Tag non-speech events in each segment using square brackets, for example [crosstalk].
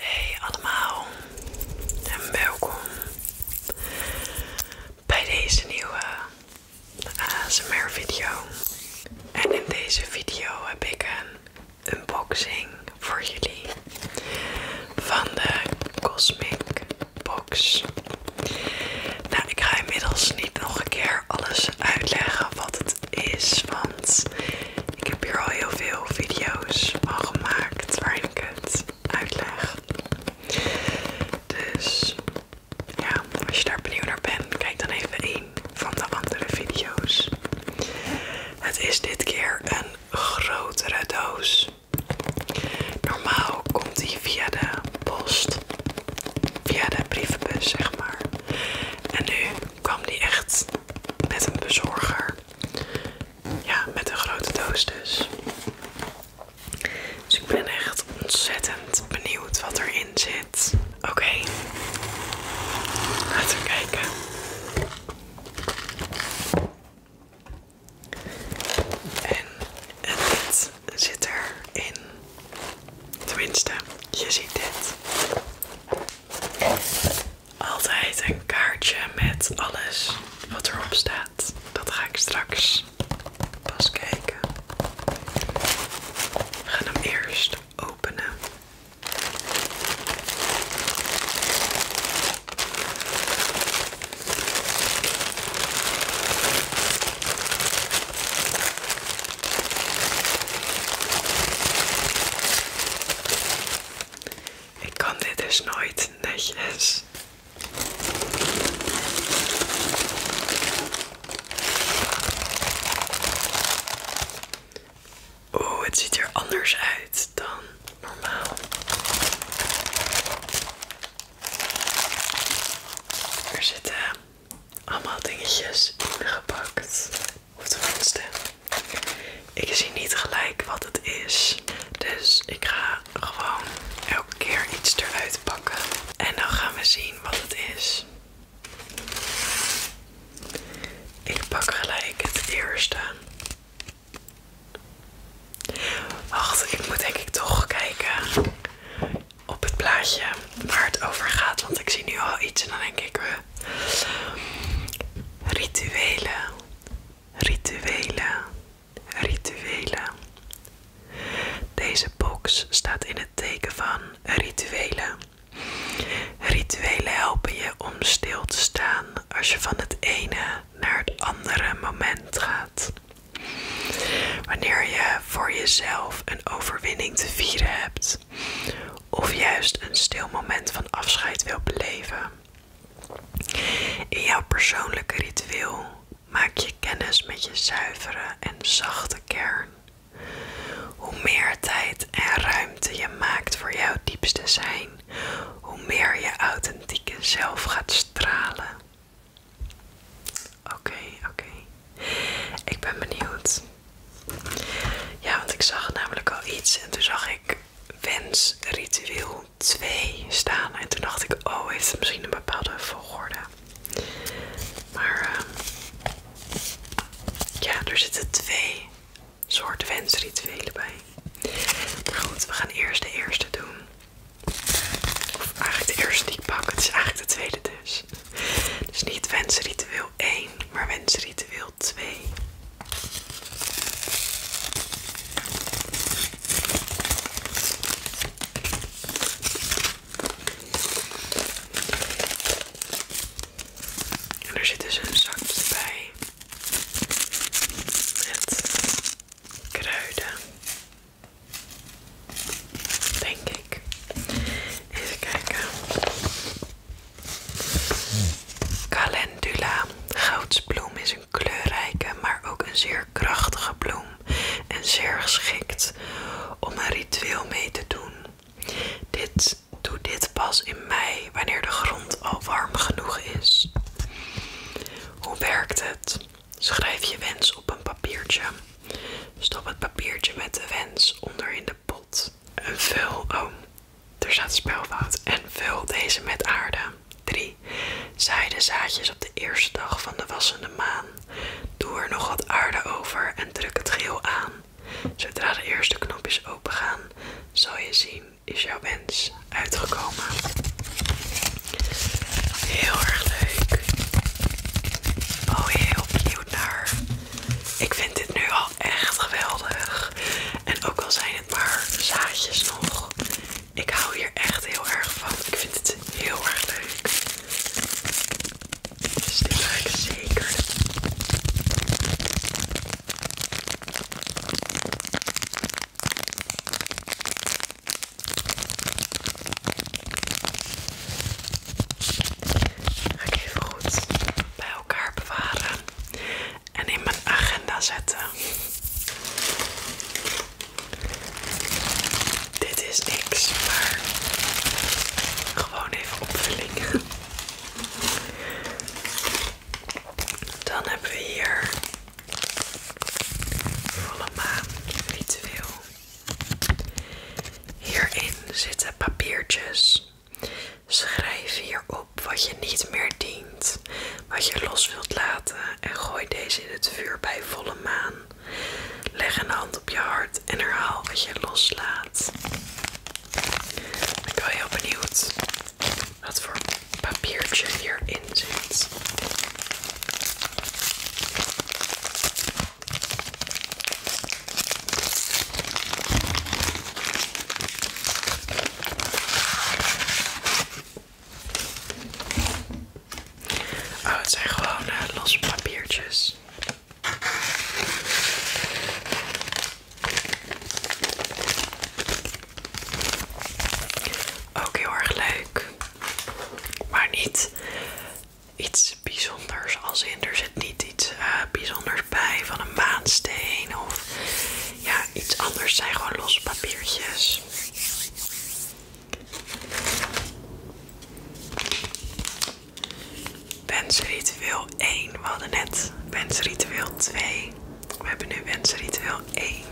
Hey allemaal en welkom bij deze nieuwe ASMR video. En in deze video heb ik een unboxing voor jullie van de Cosmic Box. Nou, ik ga inmiddels niet nog een keer alles uitleggen wat het is, want ik heb hier al heel veel video's van gemaakt waarin ik het uitleg. Dus ja, als je daar benieuwd naar bent, kijk dan even één van de andere video's. Het is dit keer een grotere doos. Normaal komt die via de post, via de brievenbus zeg maar. En nu kwam die echt met een bezorger ja, met een grote doos dus. Dus ik ben echt ontzettend benieuwd wat erin zit. Oké, laten we kijken. En, en dit zit erin. Tenminste, je ziet dit altijd een kaartje met alles wat erop staat. Dat ga ik straks pas kijken. We gaan hem eerst openen. Ik kan dit dus nooit netjes. Oh, het ziet er anders uit dan normaal. Er zitten allemaal dingetjes ingepakt. Of tenminste, ik zie niet gelijk wat het is. Dus ik ga gewoon elke keer iets eruit pakken. En dan gaan we zien wat het is. Ik pak gelijk het eerste. Wacht, ik moet denk ik toch kijken op het plaatje waar het over gaat. Want ik zie nu al iets en dan denk ik, Rituelen, rituelen, rituelen. Deze box staat in het teken van rituelen. Rituelen helpen je om stil te staan als je van het ene naar het andere moment gaat. Wanneer je voor jezelf een overwinning te vieren hebt of juist een stil moment van afscheid wil beleven. In jouw persoonlijke ritueel maak je kennis met je zuivere en zachte kern. Hoe meer tijd en ruimte je maakt voor jouw diepste zijn, hoe meer je authentieke zelf gaat stralen. Oké, oké. Ik ben benieuwd ja, want ik zag namelijk al iets en toen zag ik wensritueel 2 staan. En toen dacht ik, oh, heeft het misschien een bepaalde volgorde? Maar ehm, ja, er zitten twee soorten wensrituelen bij. Maar goed, we gaan eerst de eerste doen. Of eigenlijk de eerste die ik pak. Het is eigenlijk de tweede dus. Dus niet wensritueel 1 maar wensritueel twee. En er zit dus een zakje bij met kruiden, denk ik. Even kijken. Calendula. Goudsbloem is een kleurrijke, maar ook een zeer krachtige bloem. En zeer geschikt om een ritueel mee te doen. Dit, doe dit pas in mei, wanneer de grond al warm genoeg is. Hoe werkt het? Schrijf je wens op een papiertje. Stop het papiertje met de wens onder in de pot. En vul, oh, er staat spelfout. En vul deze met aarde. 3. Zaai de zaadjes op de eerste dag van de wassende maan. Doe er nog wat aarde over en druk het geel aan. Zodra de eerste knopjes opengaan, zal je zien, is jouw wens uitgekomen. Heel erg leuk. Oh, heel cute naar. Ik vind dit nu al echt geweldig. En ook al zijn het maar zaadjes nog. Ik hou hier echt heel erg van. Ik vind het heel erg leuk. Dus dit ga ik zeker. Ga ik even goed bij elkaar bewaren en in mijn agenda zetten. Dit is niks, maar gewoon even opvliegen. [laughs] Dan hebben we hier volle maan, niet veel. Hierin zitten papiertjes Schrijf hier op wat je niet meer dient, wat je los wilt laten en gooi deze in het vuur bij volle maan. Leg een hand op je hart en herhaal wat je loslaat. Ik ben heel benieuwd wat voor papiertje hierin zit. Oh, het zijn gewoon eh, los papiertjes. Ook heel erg leuk. Maar niet iets bijzonders als in. Er zit niet iets eh, bijzonders bij van een maansteen of ja, iets anders zijn gewoon losse papiertjes. Wensritueel 1. We hadden net wensritueel 2. We hebben nu wensritueel 1.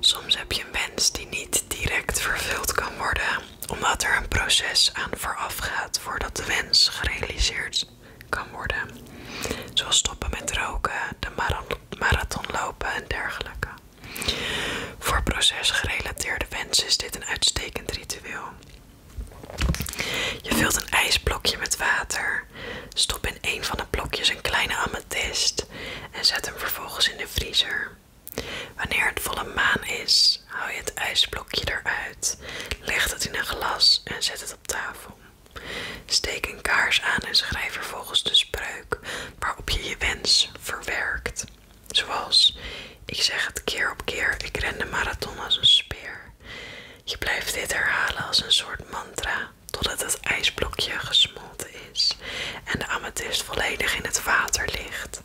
Soms heb je een wens die niet direct vervuld kan worden, omdat er een proces aan voorafgaat voordat de wens gerealiseerd kan worden. Zoals stoppen met roken, de marathon lopen en dergelijke. Voor procesgerelateerde wensen is dit een uitstekend ritueel. Je vult een ijsblokje met water. Stop in een van de blokjes een kleine amethyst en zet hem vervolgens in de vriezer. Wanneer het volle maan is, haal je het ijsblokje eruit, leg het in een glas en zet het op tafel. Steek een kaars aan en schrijf vervolgens de spreuk waarop je je wens verwerkt. Zoals, ik zeg het keer op keer, ik ren de marathon als een speer. Je blijft dit herhalen als een soort mantra totdat het ijsblokje gesmolten is en de amethyst volledig in het water ligt.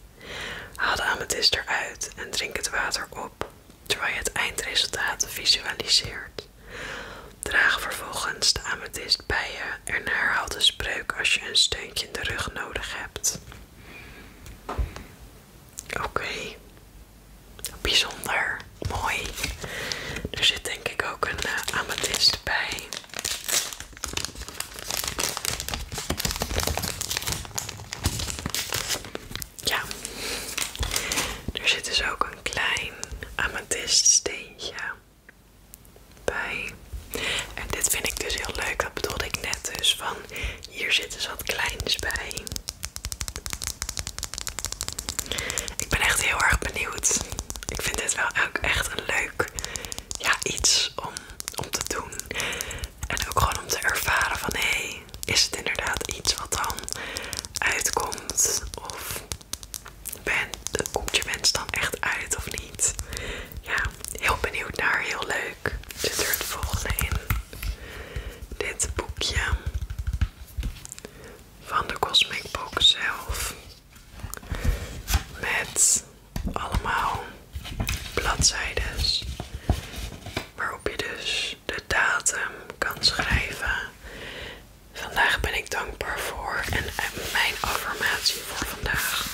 Haal de amethyst eruit en drink het water op, terwijl je het eindresultaat visualiseert. Draag vervolgens de amethyst bij je en herhaal de spreuk als je een steuntje in de rug nodig hebt. Oké, bijzonder, mooi. Er zit denk ik ook een eh, amethyst bij. Ja, er zit dus ook een klein amethyststeentje bij. En dit vind ik dus heel leuk, dat bedoelde ik net dus van hier zitten dus wat kleins bij. Ik ben echt heel erg benieuwd. Ik vind dit wel ook echt een leuk ja, iets om, om te doen. En ook gewoon om te ervaren van hé, is het inderdaad iets wat dan uitkomt? Of ben, komt je wens dan echt uit of niet? Ja, heel benieuwd naar, heel leuk. Zit er het volgende in? Dit boekje van de Cosmic Book zelf. Met allemaal bladzijdes waarop je dus de datum kan schrijven. Vandaag ben ik dankbaar voor en mijn affirmatie voor vandaag.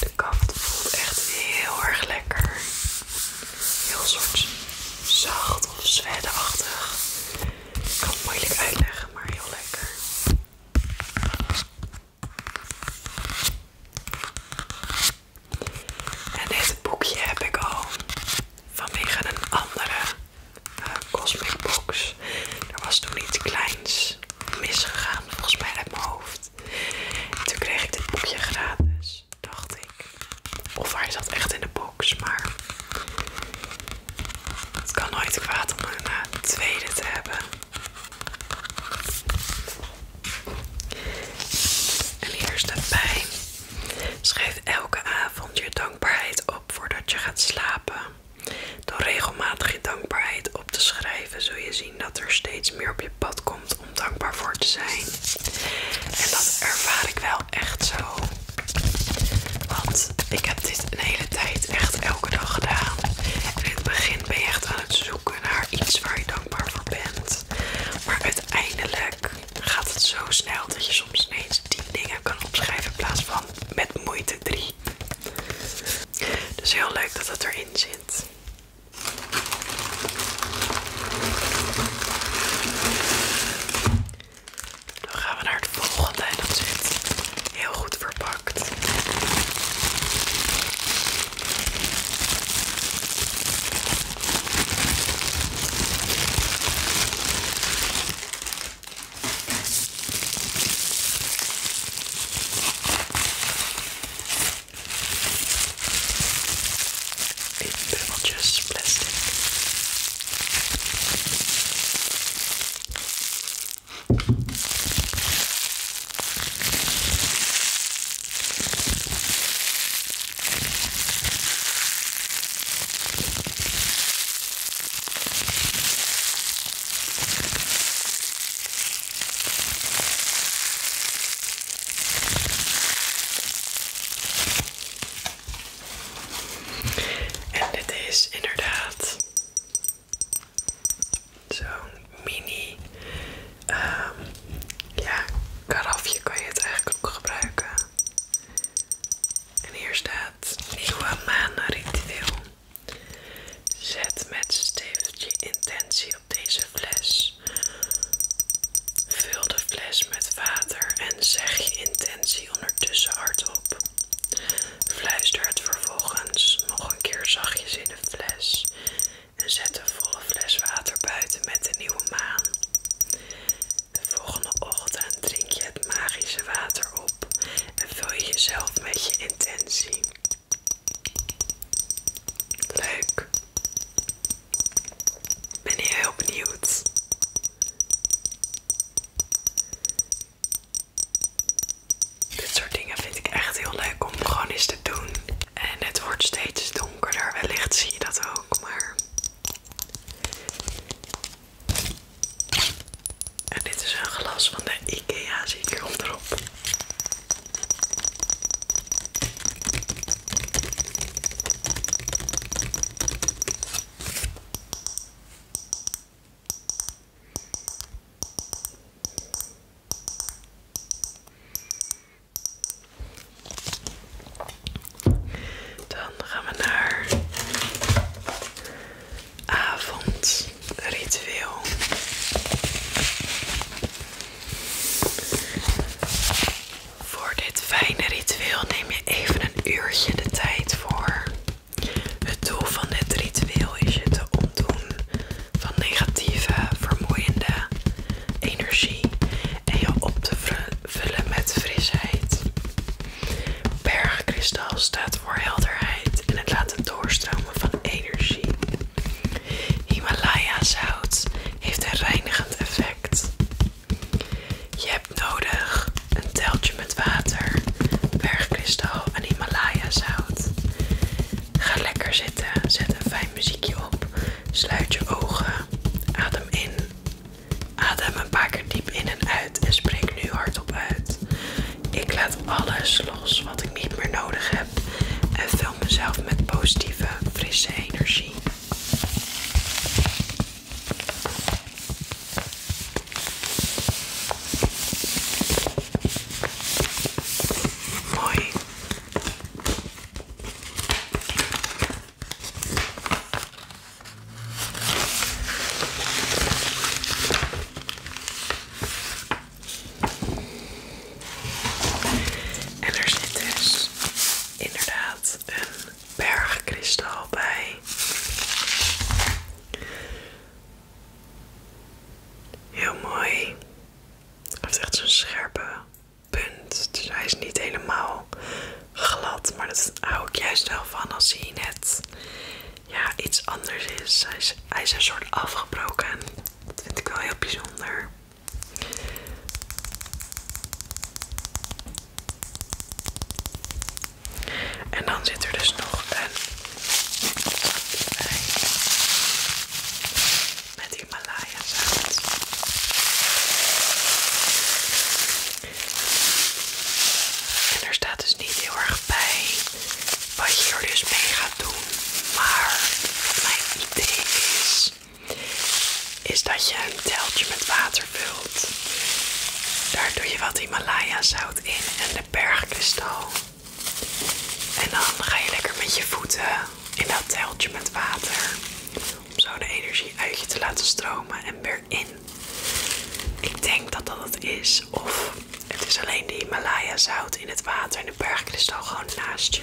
De kant voelt echt heel erg lekker. Heel soort zacht of zweddeachtig. Ik kan het moeilijk uitleggen, maar heel lekker. En dit boekje heb ik al vanwege een andere eh, Cosmic Box. Er was toen iets kleins misgegaan, volgens mij uit mijn hoofd. toen kreeg ik dit boekje gratis, dacht ik. Of hij zat echt in de box, maar het kan nooit kwaad om een eh, tweede te hebben. En hier is de pijn. Schrijf elke avond je dankbaarheid op voordat je gaat slapen. Door regelmatig je dankbaarheid op te schrijven, zul je zien dat er steeds meer op je pad komt om dankbaar voor te zijn. En dat ervaar ik wel echt zo. Want ik heb dit een hele tijd echt elke dag gedaan. En in het begin ben je echt aan het zoeken naar iets waar je dankbaar voor bent. Maar uiteindelijk gaat het zo snel dat je soms ineens 10 dingen kan opschrijven in plaats van met moeite drie. Dus heel leuk dat het erin zit. Dan gaan we naar het volgende en dat zit heel goed verpakt. Even bubbeltjes plastic. En dit is inderdaad Zo'n mini ehm, ja, karafje kan je het eigenlijk ook gebruiken. En hier staat nieuwe ritueel Zet met stift intentie op deze fles. Vul de fles met water en zeg je intentie ondertussen hardop fluister het vervolgens nog een keer zachtjes in een fles en zet de volle fles water buiten met de nieuwe maan. De volgende ochtend drink je het magische water op en vul je jezelf met je intentie. Leuk. Ben je heel benieuwd? Dit soort dingen vind ik echt heel leuk om gewoon eens te doen. En het wordt steeds donkerder, wellicht zie je dat ook, maar... En dit is een glas van de Ikea, zie ik hier erop dan gaan we naar avondritueel. Voor dit fijne ritueel neem je even een uurtje de tijd voor. Het doel van dit ritueel is je te ontdoen van negatieve, vermoeiende energie en je op te vullen met frisheid. Bergkristal staat voor helderheid en het laten doorstromen van energie. Himalaya zout heeft een reinigend effect. Je nodig een teltje met water, bergkristal en Himalaya zout. Ga lekker zitten, zet een fijn muziekje op, sluit je ogen, adem in. Adem een paar keer diep in en uit en spreek nu hardop uit. Ik laat alles los wat ik niet meer nodig heb en vul mezelf met positieve, frisse energie. En er zit dus inderdaad een bergkristal bij. Heel mooi. Hij heeft echt zo'n scherpe punt. Dus hij is niet helemaal glad. Maar dat hou ik juist wel van als hij net ja, iets anders is. hij is een soort afgebroken. Dat vind ik wel heel bijzonder. En dan zit er dus nog een zakje bij met Himalaya zout. En er staat dus niet heel erg bij wat je er dus mee gaat doen, maar wat mijn idee is, is dat je een teltje met water vult. Daar doe je wat Himalaya zout in en de bergkristal. En dan ga je lekker met je voeten in dat teltje met water. Om zo de energie uit je te laten stromen en weer in. Ik denk dat dat het is. Of het is alleen die Himalaya zout in het water en de bergkristal gewoon naast je.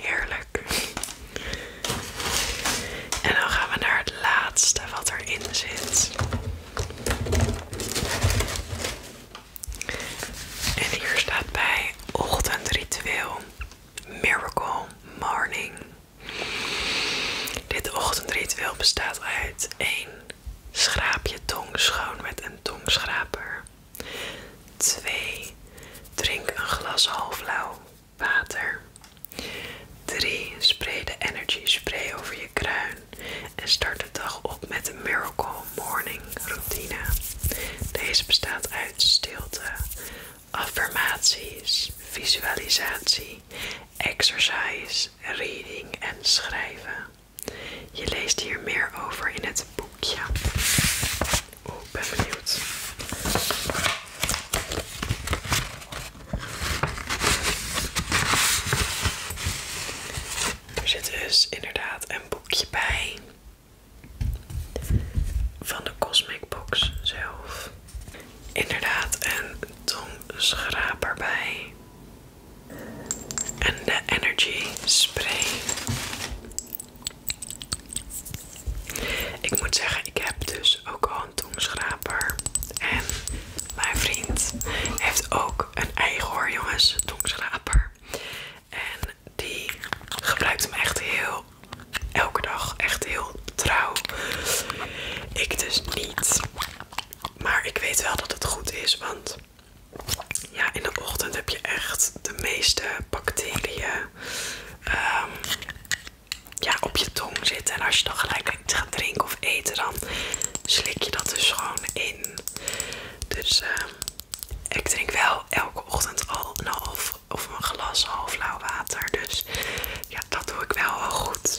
Heerlijk. En dan gaan we naar het laatste wat erin zit. En hier staat bij ochtendritueel. Miracle morning. Dit ochtendritueel bestaat uit 1. Schraap je tong schoon met een tongschraper. 2. Drink een glas halflauw water. 3. Spray de energy spray over je kruin en start de dag op met een miracle morning routine. Deze bestaat uit stilte, affirmaties, visualisatie exercise, reading en schrijven. Je leest hier meer over in het boekje. Oh, ik ben benieuwd. Er zit dus inderdaad een boekje bij. Van de Cosmic Box zelf. Inderdaad, een tongschraper bij. En de Energy Spray. Ik moet zeggen, ik heb dus ook al een tongschraper. En mijn vriend heeft ook een eigen hoor, jongens, tongschraper. En die gebruikt hem echt heel, elke dag, echt heel trouw. Ik dus niet. Maar ik weet wel dat het goed is, want ja, in de ochtend heb je echt de meeste bacteriën ehm, ja, op je tong zitten. En als je dan gelijk iets gaat drinken of eten, dan slik je dat dus gewoon in. Dus ehm, ik drink wel elke ochtend al een nou, half of een glas half lauw water. Dus ja, dat doe ik wel wel goed.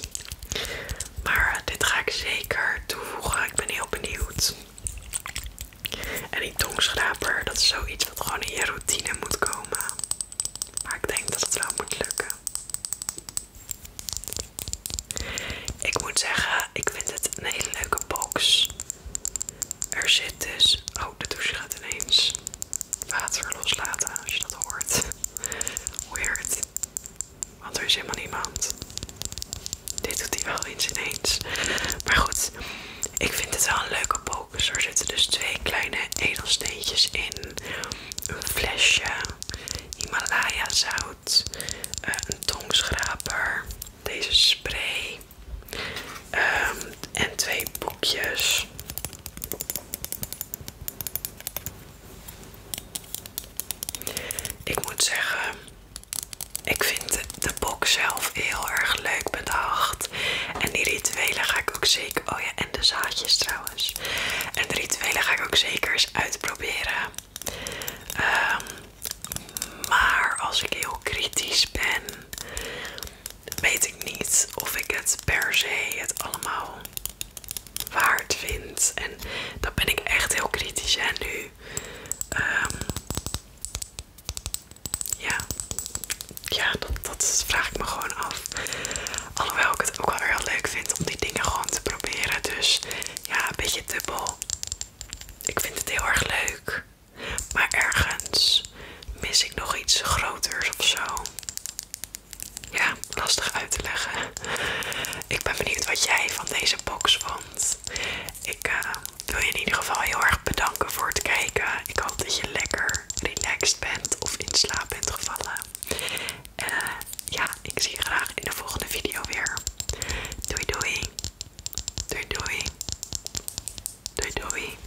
Maar dit ga ik zeker toevoegen. Ik ben heel benieuwd. En die tongschraper, dat is zoiets wat gewoon in je routine moet komen. Maar ik denk dat het wel moet lukken. Ik moet zeggen, ik vind het een hele leuke box. Er zit dus... Oh, de douche gaat ineens water loslaten als je dat hoort. Weird. Want er is helemaal niemand. Dit doet hij wel eens ineens. Maar goed, ik vind het wel een leuke pokus. Er zitten dus twee kleine edelsteentjes in. Een flesje. Himalaya zout. Eh, een tongschraper. Deze spray. Ehm, en twee boekjes. Ik moet zeggen, ik vind de box zelf heel erg leuk bedacht. En die rituelen ga ik ook zeker... Oh ja, en de zaadjes trouwens. En de rituelen ga ik ook zeker eens uitproberen. Ehm, maar als ik heel kritisch ben, weet ik niet of ik het per se het allemaal waard vind. En dan ben ik echt heel kritisch. En nu, ehm ja, ja dat, vraag ik me gewoon af. Alhoewel ik het ook wel heel leuk vind om die dingen gewoon te proberen. Dus ja, een beetje dubbel. Ik vind het heel erg leuk. Maar ergens mis ik nog iets groters of zo ja, lastig uit te leggen. Ik ben benieuwd wat jij van deze box vond. Ik eh, wil je in ieder geval heel erg bedanken voor het kijken. Ik hoop dat je lekker relaxed bent of in slaap bent gevallen. En eh, ja, ik zie je graag in de volgende video weer. Doei doei. Doei doei. Doei doei.